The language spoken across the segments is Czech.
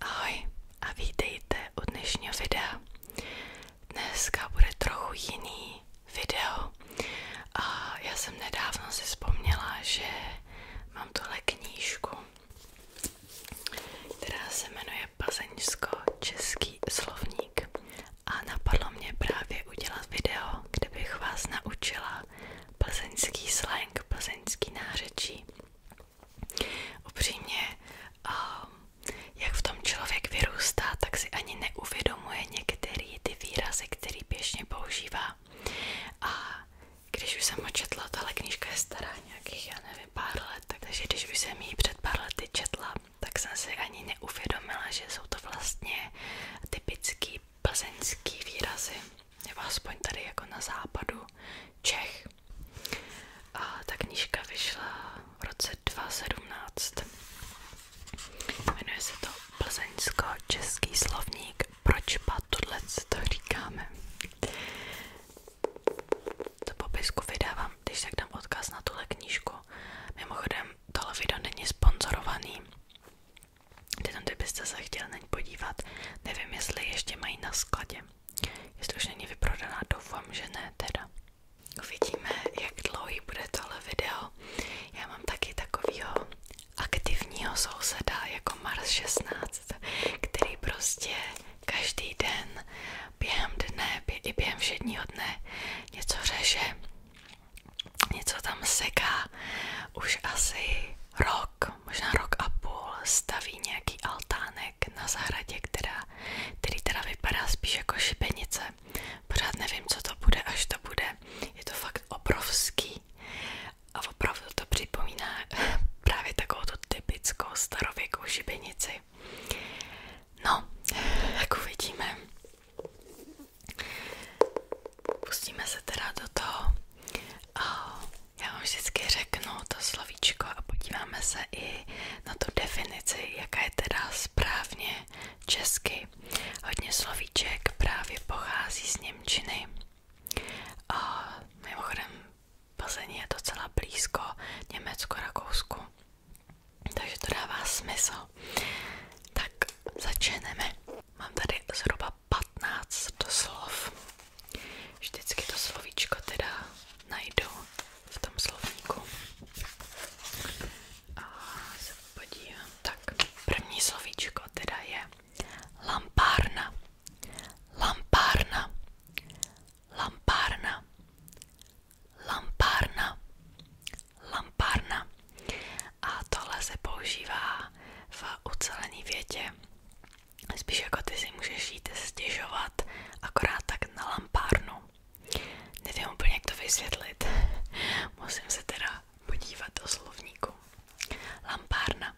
Ahoj a vítejte u dnešního videa. Dneska bude trochu jiný video. A já jsem nedávno si vzpomněla, že mám tuhle knížku, která se jmenuje Plzeňsko-český slovník. A napadlo mě právě udělat video, kde bych vás naučila plzeňský slang, plzeňský nářečí. Upřímně, ehm, jak v tom člověk vyrůstá, tak si ani neuvědomuje některé ty výrazy, které běžně používá. když už jsem ho četla, tahle knížka je stará nějakých, já nevím, let, takže když už jsem ji před pár lety četla, tak jsem si ani neuvědomila, že jsou to vlastně typický plzeňský výrazy, nebo aspoň tady jako na západu Čech. A ta knížka vyšla v roce 2017. Jmenuje se to Plzeňsko-český slovník. Proč patudlec to říkáme? To popisku vydávám, když tak dám odkaz na tuhle knížku. Mimochodem, tohle video není sponzorovaný. Teď tam, kdybyste se chtěli na podívat, nevím, jestli ještě mají na skladě. Jestli už není vyprodaná, doufám, že ne teda. Uvidíme, jak dlouhý bude tohle video. Já mám taky takovýho aktivního souseda jako Mars 16, který prostě každý den během dne, bě, i během všedního dne něco řeše, něco tam seká už asi rok rok, možná rok a půl staví nějaký altánek na zahradě, která, který teda vypadá spíš jako šibenice. Pořád nevím, co to bude, až to bude. Je to fakt obrovský a opravdu to připomíná právě takovou tu typickou starověkou šibenici. No, jak uvidíme. Pustíme se teda do toho já vám vždycky řeknu to slovíčko a podíváme se i na tu definici, jaká je teda správně česky. Hodně slovíček právě pochází z Němčiny. A mimochodem Plzeň je docela blízko Německo-Rakousku. Takže to dává smysl. Tak začneme. Mám tady zhruba 15 slov. Vždycky to slovíčko teda najdu v tom slovníku. A se podívám. Tak, první slovíčko teda je lampárna. Lampárna. Lampárna. Lampárna. Lampárna. A tohle se používá v ucelené větě. Spíš jako ty si můžeš jít stěžovat akorát tak na lampárnu. Nevím úplně, jak to vysvětlit. Musím se teda podívat do slovníku. Lampárna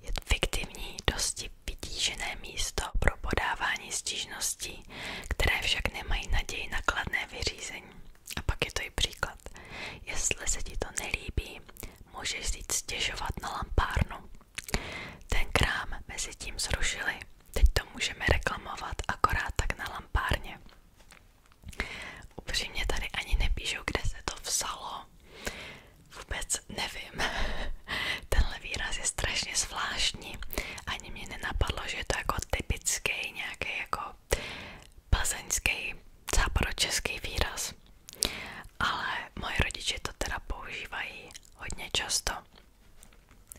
je fiktivní, dosti vytížené místo pro podávání stížností, které však nemají naději na kladné vyřízení. A pak je to i příklad. Jestli se ti to nelíbí, můžeš jít stěžovat na lampárnu. Ten krám mezi tím zrušili, teď to můžeme reklamovat akorát tak na lampárně. Upřímně tady ani nepíšou, kde se to vzalo. Vůbec nevím. Tenhle výraz je strašně zvláštní. Ani mě nenapadlo, že je to jako typický nějaký jako plzeňský, západočeský výraz. Ale moje rodiče to teda používají hodně často.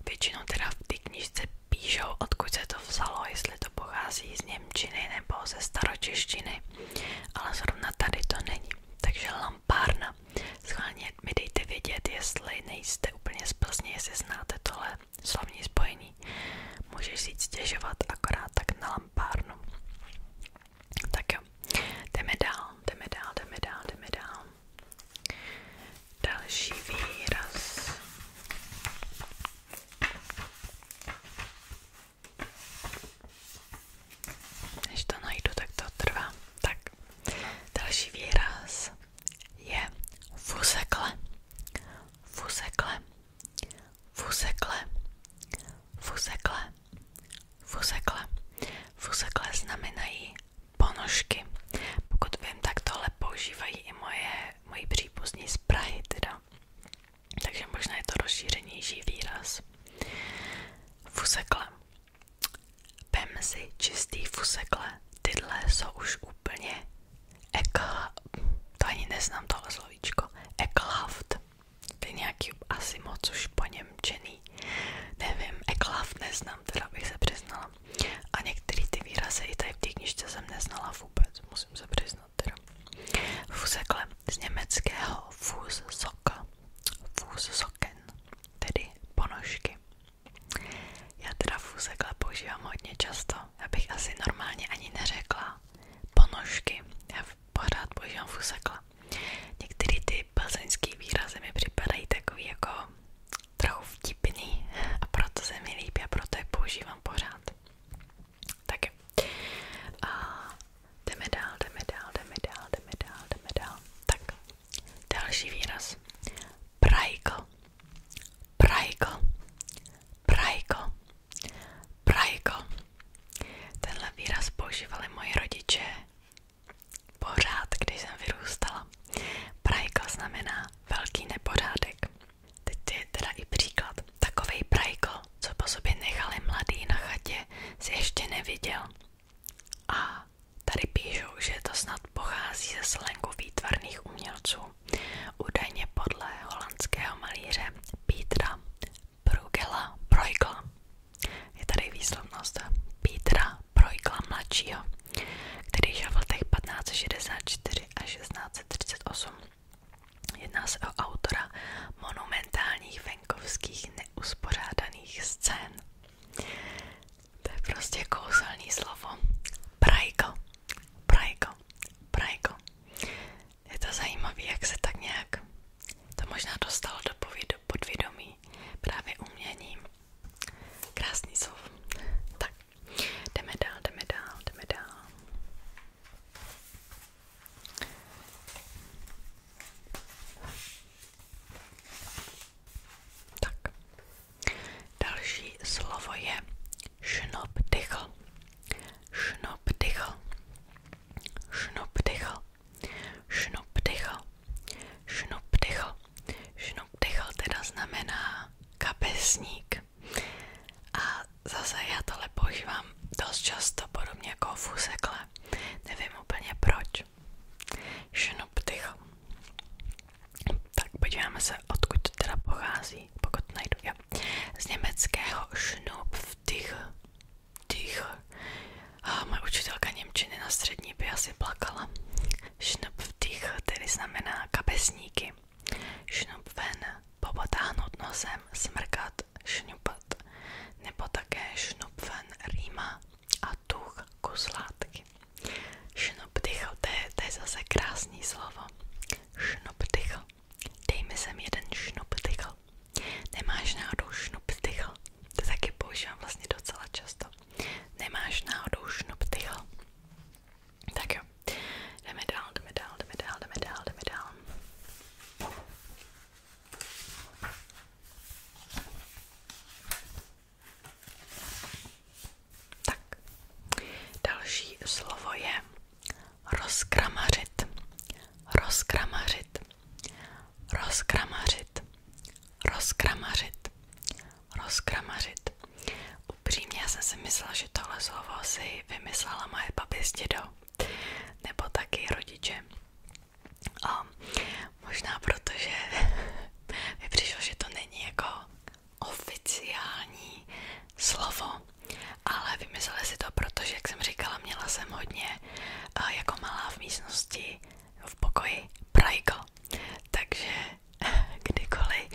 Většinou teda v té knižce píšou, odkud se to vzalo, jestli to pochází z Němčiny nebo ze staročeštiny, ale zrovna tady to není. Takže lampárna. Schválně mi dejte vědět, jestli nejste úplně z Plzně, jestli znáte tohle slovní spojení. Můžeš si stěžovat akorát tak na lampárnu. Tak jo, jdeme dál, jdeme dál, Další výraz. Než to najdu, tak to trvá. Tak, další výraz je fusekle, fusekle, fusekle, fusekle, Fuzekle. Fuzekle znamenají ponožky. Pokud vím, tak tohle používají i moje, moji příbuzní z Prahy teda. Takže možná je to rozšířenější výraz. Fusekle. Vem si čistý fusekle. Tyhle jsou už úplně ekla... To ani neznám tohle slovíčko. Eklaft. Ty nějaký asi moc už po něm čený. Nevím, eklav neznám, teda bych se přiznala. A některé ty výrazy i tady v té knižce jsem neznala vůbec, musím se přiznat teda. Fusekle z německého Fusoka, Fusoken, tedy ponožky. Já teda fusekle používám hodně často, já bych asi normálně ani neřekla ponožky. Já pořád používám fusekla. Některé ty plzeňské výrazy mi připadají takový jako trochu vtipný a proto se mi líbí a proto je používám pořád. Tak a jdeme dál, jdeme dál, jdeme dál, jdeme dál, jdeme dál. Tak, další výraz. Prajko, prajko, prajko, prajko, Tenhle výraz používali moji rodiče pořád, když jsem vyrůstala. Prajko znamená velký nepořádek. Teď je teda i příklad. Takovej prajko, co po sobě nechali mladý na chatě, si ještě neviděl. A tady píšou, že to snad pochází ze slengu výtvarných umělců. Údajně podle holandského malíře Petra Brugela Brojgla. Je tady výslovnost Petra Brojgla mladšího, který žil v letech 1564 až 1638. Jedná se o autora monumentálních venkovských neuspořádaných scén. To je prostě kouzelný slovo. Brajgl, brajgl, brajgl. Je to zajímavé, jak se tak nějak to možná dostalo do podvědomí právě uměním. Krásný slov. Tak, jdeme dál, jdeme dál, jdeme dál. Tak, další slovo je šnopdychl. Šnopdychl. Šnopdychl. Šnup dychl. Šnup dychl. Šnup dychl teda znamená kapesník. A zase já tohle používám dost často, podobně jako fusekle. Nevím úplně proč. Šnup dychl. Tak podíváme se, odkud to teda pochází, pokud najdu. Jo. Z německého šnup vdych. A moje učitelka Němčiny na střední by asi plakala. Schnupftich tedy znamená kapesníky. Schnupfen, popotáhnout nosem, smrkat, šňupat. Nebo také schnupfen rýma a tuch kus látky. Schnupftich, to, to je zase krásný slovo. Schnupftich. Dej mi sem jeden schnupftich vzdechl. Nemáš náhodou šnup vzdechl. To taky používám vlastně docela často. Nemáš náhodou šnup vzdechl. Tak jo. Jdeme dál, jdeme dál, jdeme dál, jdeme dál, jdeme dál. Tak, další slovo je rozkramařit. Rozkramařit rozkramařit, rozkramařit, rozkramařit. Upřímně já jsem si myslela, že tohle slovo si vymyslela moje baběstědo, nebo taky rodiče. A možná protože mi přišlo, že to není jako oficiální slovo, ale vymysleli si to, protože, jak jsem říkala, měla jsem hodně Eh, jako v místnosti, v pokoji, prajko. Takže kdykoliv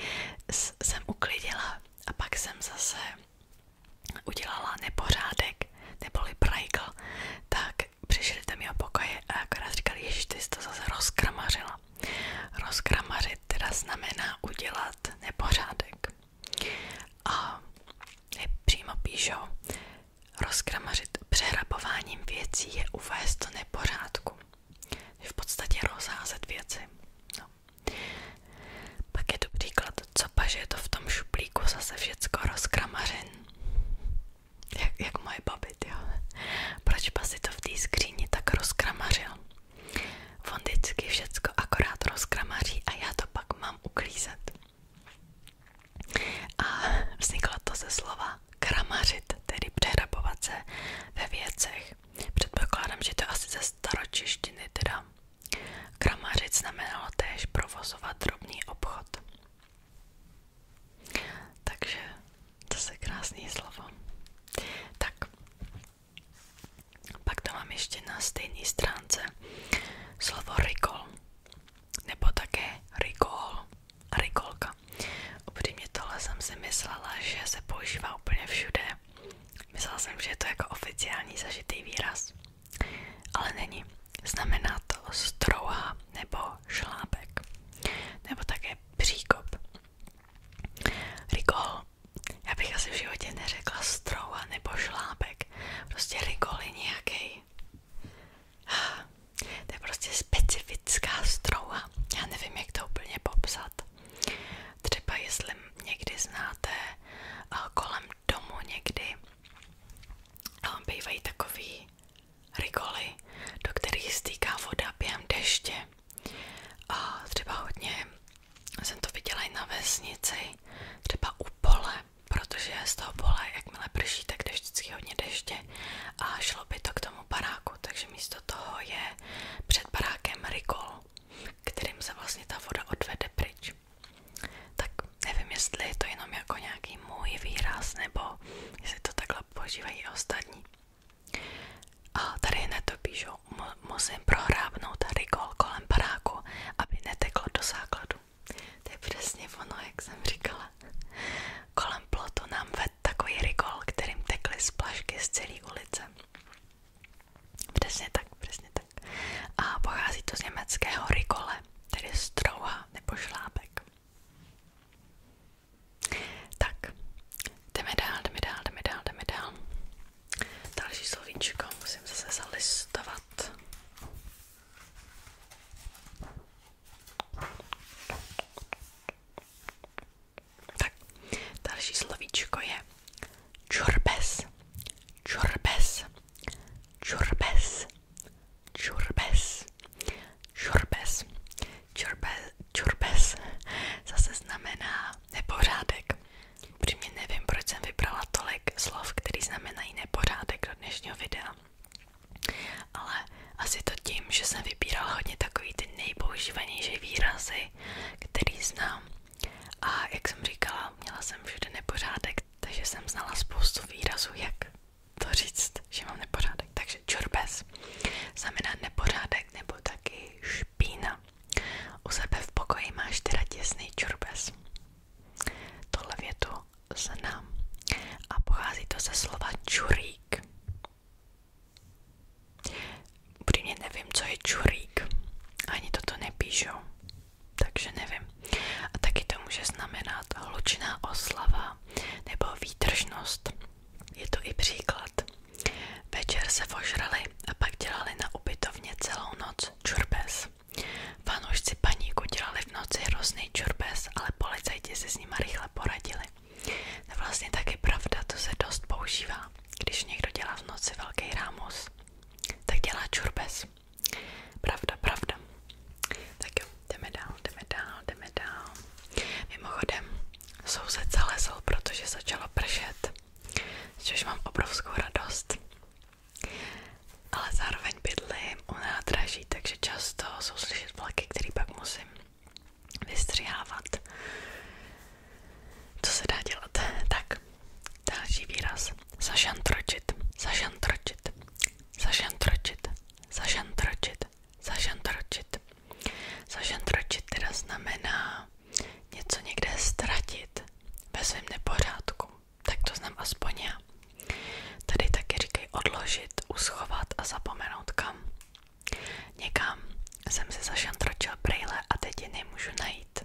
jsem uklidila a pak jsem zase udělala nepořádek, neboli prajkl, tak přišli do mého pokoje a akorát říkali, ježiš, jsi to zase rozkramařila. Rozkramařit teda znamená udělat nepořádek. A přímo píšou, rozkramařit přehrabováním věcí je uvést do nepořádku. V podstatě rozházet věci. No. Pak je tu příklad, co paž je to v tom šuplíku zase všecko rozkramařin. Jak, jak moje babit, jo. Proč pa si to v té skříni tak rozkramařil? On vždycky všecko akorát rozkramaří a já to pak mám uklízet. A vzniklo to ze slova kramařit, tedy přehrabovat se ve věcech. Předpokládám, že to je asi ze staročištiny teda. Kramařit znamenalo též provozovat drobný obchod. Takže to se krásný slovo. Tak, pak to mám ještě na stejné stránce slovo rigol nebo také rigol, rigolka. Upřímně tohle jsem si myslela, že se používá úplně všude. Myslela jsem, že je jako oficiální zažitý výraz, ale není. Znamená to strouha nebo šlápek, nebo také příkop. Rigol. Já bych asi v životě neřekla strouha nebo šlápek. Prostě rigol je To je prostě specifická strouha. Já nevím, jak to úplně popsat. Třeba jestli někdy znáte eh, kolem domu někdy eh, bývají takový rigoly, do kterých stýká voda během deště. třeba hodně jsem to viděla i na vesnici, třeba u pole, pole, protože z toho pole, jakmile prší, tak jde hodně deště a šlo to k tomu baráku, takže místo toho je před barákem rikol, kterým se vlastně ta voda odvede pryč. Tak nevím, jestli je to jenom jako nějaký můj výraz, nebo jestli to takhle používají ostatní. A tady hned to píšu, musím prohrábnout rigol kolem baráku, aby neteklo do základu. To je přesně ono, jak jsem říkala. Kolem plotu nám ved takový rigol, kterým tekly splašky z celé ulice. Přesně tak, přesně tak. A pochází to z německého rigole, tedy strouha nebo šlápek. Tak, jdeme dál, jdeme dál, jdeme dál, jdeme dál. Další slovíčko musím zase zalistovat. Tak, další slovíčko je čurbes, čurbes, čurbes, čurbes, čurbes, čurbes, čurbes, zase znamená nepořádek. Upřímně nevím, proč jsem vybrala tolik slov, který znamenají nepořádek do dnešního videa. Ale asi to tím, že jsem vybírala hodně takový ty nejpoužívanější výrazy, který znám. A jak jsem říkala, měla jsem všude nepořádek, takže jsem znala spoustu výrazů, jak to říct, že mám nepořádek. Takže čurbes znamená nepořádek nebo taky špína. U sebe v pokoji máš teda těsný čurbes. Tohle větu znám. A pochází to ze slova čurík. Upřímně nevím, co je čurík. Ani toto nepíšou. Takže nevím. A taky to může znamenat hlučná oslava nebo výtržnost. Je to i příklad. Večer se vožrali a pak dělali na ubytovně celou noc čurbes. Fanoušci paníku dělali v noci hrozný čurbes, ale policajti se s nima rychle poradili. To vlastně taky pravda, to se dost používá. Když někdo dělá v noci velký rámus, tak dělá čurbes. Pravda, pravda. Tak jo, jdeme dál, jdeme dál, jdeme dál. Mimochodem, soused zalezl, protože začalo pršet, což mám obrovskou radost. Ale zároveň bydlím u nádraží, takže často jsou vlaky, které pak musím vystřihávat. Co se dá dělat? Tak, další výraz. Zašantročit, zašantročit, zašantročit, zašantročit, zašantročit. Zašantročit teda znamená něco někde ztratit ve svém nepořádku tak to znám Tady taky říkají odložit, uschovat a zapomenout kam. Někam jsem si zašantročil a teď je najít.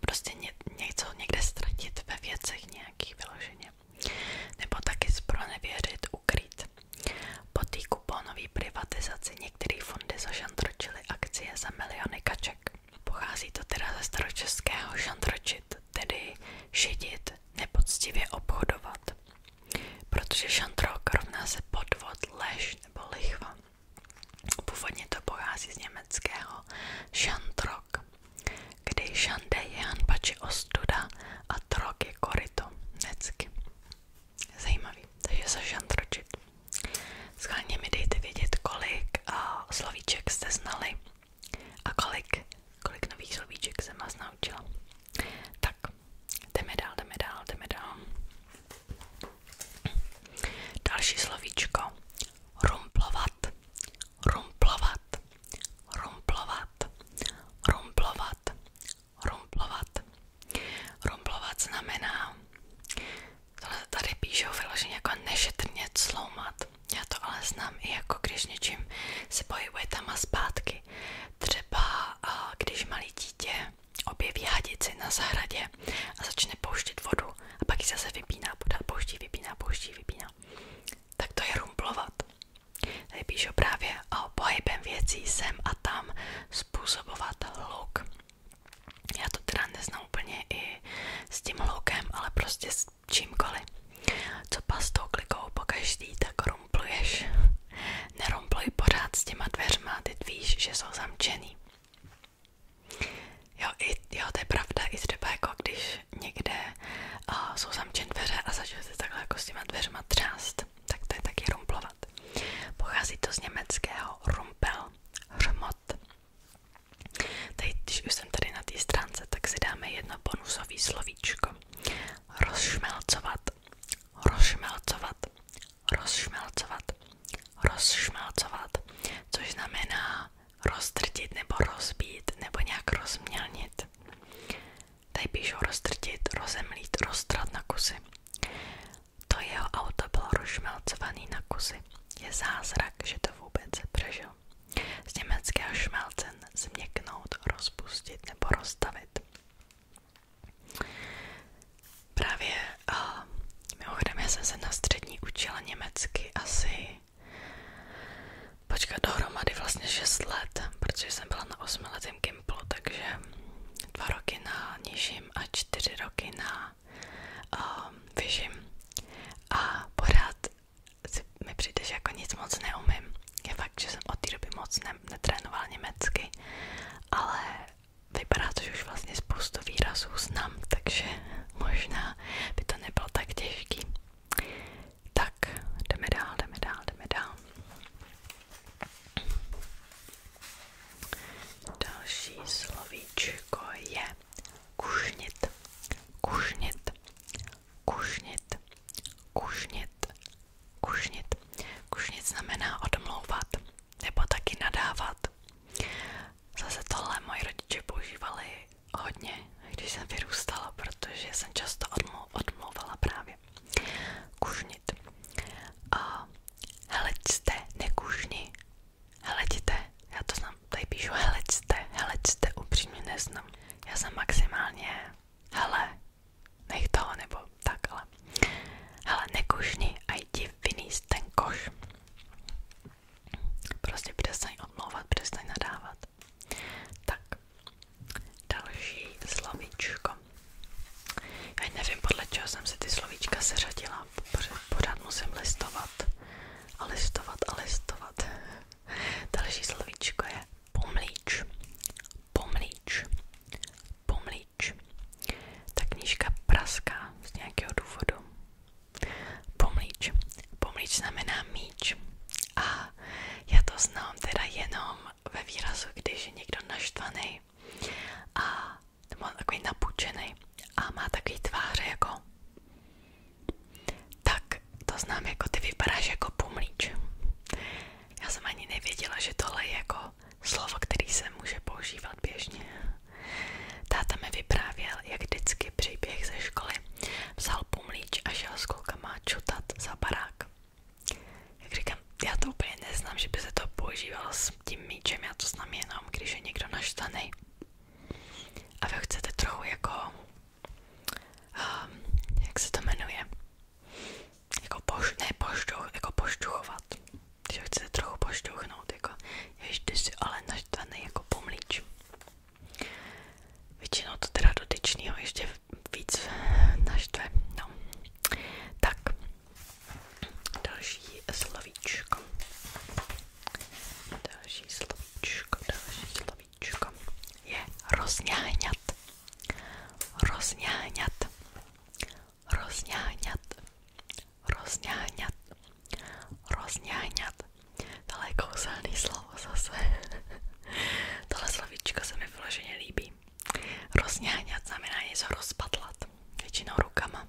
Prostě ně, něco někde ztratit ve věcech nějakých vyloženě. Nebo taky zpronevěřit, ukrýt. Po té kuponové privatizaci některé fondy zašantročily akcie za miliony kaček. Pochází to teda ze staročeského šantročit, tedy šidit, nepoctivě obchodovat. Protože šantrok rovná se podvod, lež nebo lichva. Původně to pochází z německého šantrok, kdy šande je hanba či ostuda a trok je korito, necky. Zajímavý, takže se šantročit. Schválně mi dejte vědět, kolik uh, slovíček jste znali a kolik, kolik nových slovíček jsem vás naučila. Tak, jdeme dál, jdeme dál, jdeme dál. Další slovíčko. Rumplovat, rumplovat, rumplovat, rumplovat, rumplovat. Rumplovat znamená Tohle tady píšou vyloženě jako nešetrně cloumat. Já to ale znám i jako když něčím se pohybuje tam a zpátky. Třeba když malý dítě objeví hadici na zahradě a začne pouštět vodu a pak ji zase vypíná, podá, pouští, vypíná, pouští, vypíná. Tak to je rumplovat. Tady píšu právě o pohybem věcí sem a tam způsobovat hluk. Já to teda neznám úplně i s tím hloukem, ale prostě s čímkoliv. Co pastou klikou po každý, tak rumpluješ. Nerumpluj pořád s těma dveřma, teď víš, že jsou zamčený. Jo, i, jo, to je pravda, i třeba jako když někde uh, jsou zamčené dveře a se takhle jako s těma dveřma třást, tak to je taky rumplovat. Pochází to z německého rumpel, hřmot Teď, když jsem tady na té stránce, tak si dáme jedno bonusové slovíčko. Rozšmelcovat, rozšmelcovat, rozšmelcovat, rozšmelcovat, což znamená roztrtit nebo rozbít nebo nějak rozmělnit. Tady píšou roztrtit, rozemlít, roztrat na kusy. To jeho auto bylo rozšmelcovaný na kusy. Je zázrak, že to vůbec přežil. Z německého šmelcen změknout, rozpustit nebo rozstavit. Právě uh, mimochodem já se na střední učila německy asi počkat dohromady vlastně 6 let, protože jsem byla na 8 letém takže dva roky na nižším a čtyři roky na na um, vyžim a pořád mi přijde, že jako nic moc neumím. Je fakt, že jsem od té doby moc ne netrénoval německy, ale vypadá to, že už vlastně spoustu výrazů znám, takže možná by to nebylo tak těžký. Tak, jdeme dál, jdeme dál, jdeme dál. Další slovíčko je kušnit, kušnit, kušnit, kušnit, kušnit. Kušnit znamená odmlouvat nebo taky nadávat. Zase tohle moji rodiče používali hodně, když jsem vyrůstala, protože jsem často odmlu, odmlouvala právě. Kušnit. A hele, jste nekušni, Heleďte, já to znám, tady píšu heleďte, heleďte, upřímně neznám. Já jsem maximálně, hele, nech toho nebo takhle. Hele, nekušni a jdi vynést ten koš. Prostě přestaň odmlouvat, přestaň nadávat. Tak, další slovíčko. Já nevím, podle čeho jsem si ty slovíčka seřadila, já pořád musím listovat a listovat a listovat. Další slovíčko je pomlíč, pomlíč, pomlíč. Ta knížka praská z nějakého důvodu. Pomlíč, pomlíč znamená míč. A já to znám teda jenom ve výrazu, když je někdo naštvaný a on takový napučený a má takový tváře jako tak to znám jako ty vypadáš jako pumlíč. Já jsem ani nevěděla, že tohle je jako slovo, který se může používat běžně. Táta mi vyprávěl, jak vždycky příběh ze školy vzal pumlíč a šel s klukama čutat za barák. Jak říkám, já to úplně neznám, že by se to používalo s tím míčem, já to znám jenom, když je někdo naštvaný. A vy ho chcete trochu jako, um, jak se to jmenuje, jako poš, ne poštuch, jako poštuchovat. Když ho chcete trochu poštuchnout, jako ještě si ale naštvaný jako pomlíč. Většinou to teda dotyčnýho ještě víc naštve, no. Tak, další slovíčko. Další slovíčko, další slovíčko je rozňáňat. Rozňáňat. Rozňáňat. Rozňáňat. Rozňáňat. Tohle je kouzelný slovo zase. Tohle slovíčko se mi vyloženě líbí. Rozňáňat znamená něco rozpadlat. Většinou rukama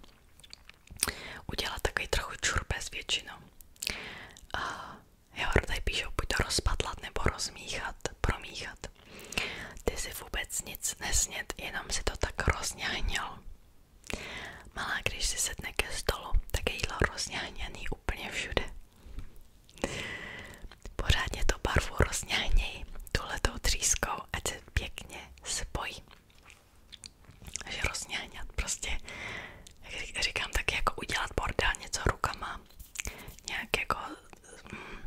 udělat takový trochu čurbez většinou. A jo, tady píšou buď to rozpadlat nebo rozmíchat, promíchat. Ty si vůbec nic nesnět, jenom si to tak rozňáhnil. Malá, když si sedne ke stolu, tak je jídlo rozňáhněný úplně všude. Pořádně to barvu rozňáhněj tuhletou třískou, ať se pěkně spojí že rozňáňat prostě, jak říkám, tak jako udělat bordel něco rukama, nějak jako mm,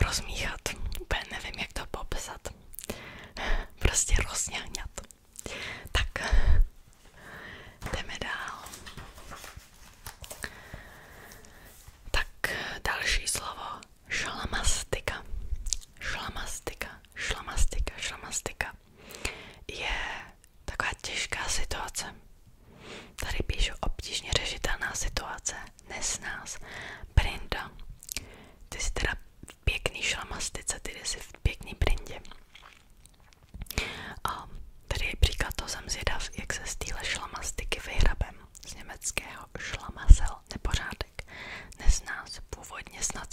rozmíchat, úplně nevím, jak to popsat, prostě rozňáňat. Tak, jdeme dál. Tak další slovo šlamastika, šlamastika, šlamastika, šlamastika je taková těžká situace. Tady píšu obtížně řešitelná situace, nesnás, brinda. Ty jsi teda pěkný šlamastice, ty jsi v pěkný brindě. tady je příklad, to jsem jak se z šlamastiky vyhrabem z německého šlamasel nepořád začátek. původně snad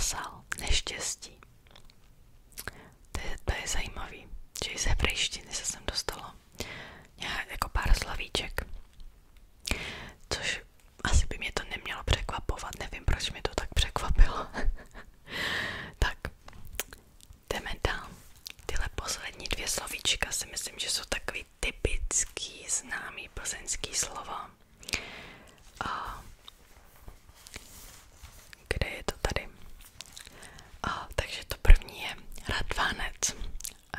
z neštěstí. To to je zajímavý, že z hebrejštiny se sem dostalo nějak jako pár slavíček. Což asi by mě to nemělo překvapovat, nevím proč mě to tak překvapilo. tak, jdeme dál. Tyhle poslední dvě slovíčka si myslím, že jsou takový typický známý plzeňský slovo. A kde je to tady? A, takže to první je radvánec.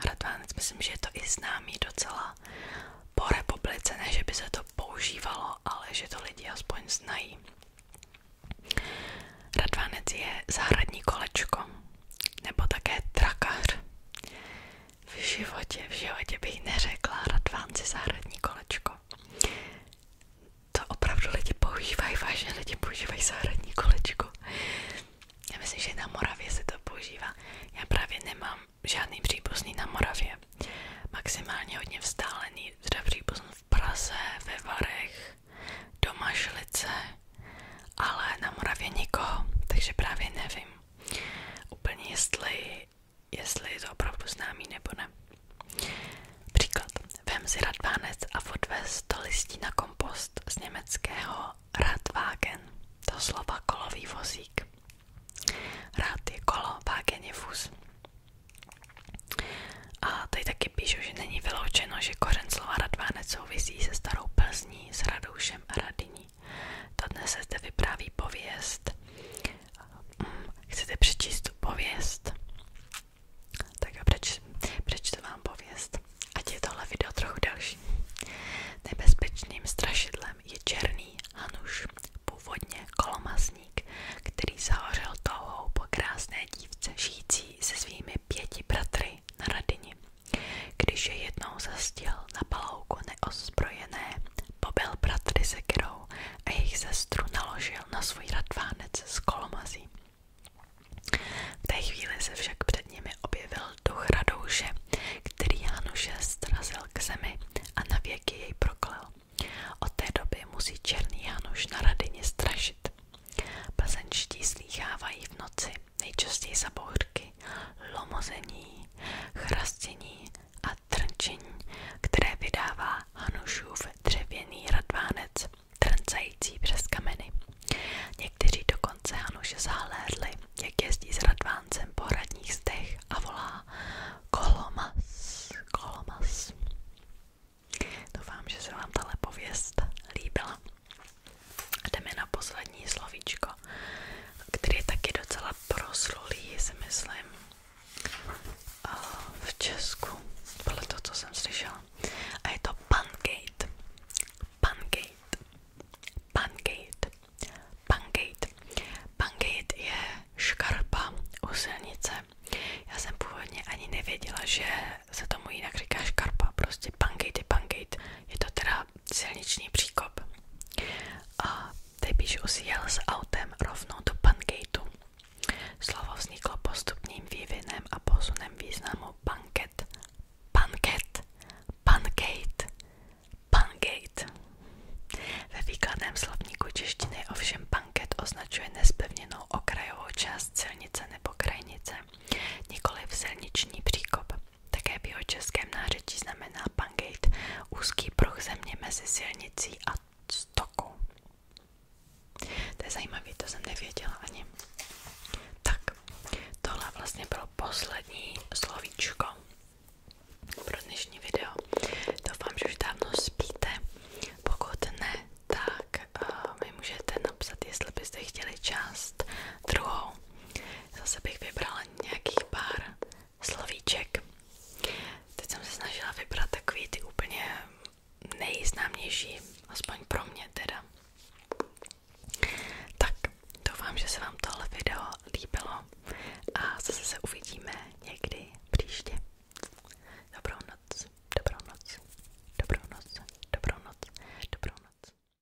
Radvánec, myslím, že je to i známý docela po republice, ne že by se to používalo, ale že to lidi aspoň znají. Radvánec je zahradní kolečko, nebo také trakař v životě, v životě bych neřekla radvánci zahradní kolečko. To opravdu lidi používají, vážně lidi používají zahradní kolečko. Já myslím, že na Moravě se to používá. Já právě nemám žádný příbuzný na Moravě. Maximálně hodně vzdálený, teda příbuzný v Praze, ve Varech, doma Šlice, ale na Moravě nikoho, takže právě nevím úplně jestli, jestli je to opravdu známý nebo ne. Příklad. Vem si radvánec a odvez to listí na kompost z německého Radwagen, to slova kolový vozík. Rád je kolo, vágen je vůz. A tady taky píšu, že není vyloučeno, že kořen slova radvánec souvisí se starou Plzní, s Radoušem a Radiní. Dodnes se zde vypráví pověst. Mm, chcete přečíst pověst? Tak já přeč, přečtu vám pověst. Ať je tohle video trochu delší. Nebezpečným strašidlem je černý hanuš, původně kolomazník, který zahořel touhou po krásné dívce žijící se svými pěti bratry na radini. Když je jednou zastil na palouku neozbrojené, pobyl bratry sekerou a jejich sestru naložil na svůj radvánec s kolomazí. V té chvíli se však před nimi objevil duch Radouše, který Januše strazil k zemi a na věky jej proklel. Od té doby musí černý Januš na radině strašit. Plzeňští slýchávají v noci nejčastěji za bohrky, lomození, chrastění a trnčení, které vydává Hanušův dřevěný radvánec, trncající přes kameny. Někteří dokonce Hanuše zahlédli, jak jezdí s radváncem po radních zdech a volá Kolomas, Kolomas. Doufám, že se vám tahle pověst líbila. Jdeme na poslední slovíčko, který je taky docela proslulý, si myslím, v Česku, podle toho, co jsem slyšela. A je to pancake. Pancake. Pancake. Pancake. Pancake je škarpa u silnice. Já jsem původně ani nevěděla, že se tomu jinak říká škarpa, prostě pancake je pancake. Je to teda silniční příkop. A Tebiš usíjel s autem rovnou do pankejtu. Slovo vzniklo postupným vývinem a posunem významu banket, banket, pankejt, pankejt. Ve výkladném slovníku češtiny ovšem banket označuje nespevněnou okrajovou část silnice nebo krajnice, nikoli v silniční příkop. Také v jeho českém nářečí znamená pangeit úzký pruh země mezi silnicí a stokou. To je zajímavé, to jsem nevěděla ani. Tak, tohle vlastně bylo poslední slovíčko pro dnešní video. Doufám, že už dávno spíte. Pokud ne, tak uh, mi můžete napsat, jestli byste chtěli část druhou Zase bych vybrala nějakých pár slovíček. Teď jsem se snažila vybrat takový ty úplně nejznámější, aspoň pro mě teda. Tak, doufám, že se vám tohle video líbilo a zase se uvidíme někdy příště. Dobrou noc, dobrou noc, dobrou noc, dobrou noc, dobrou noc.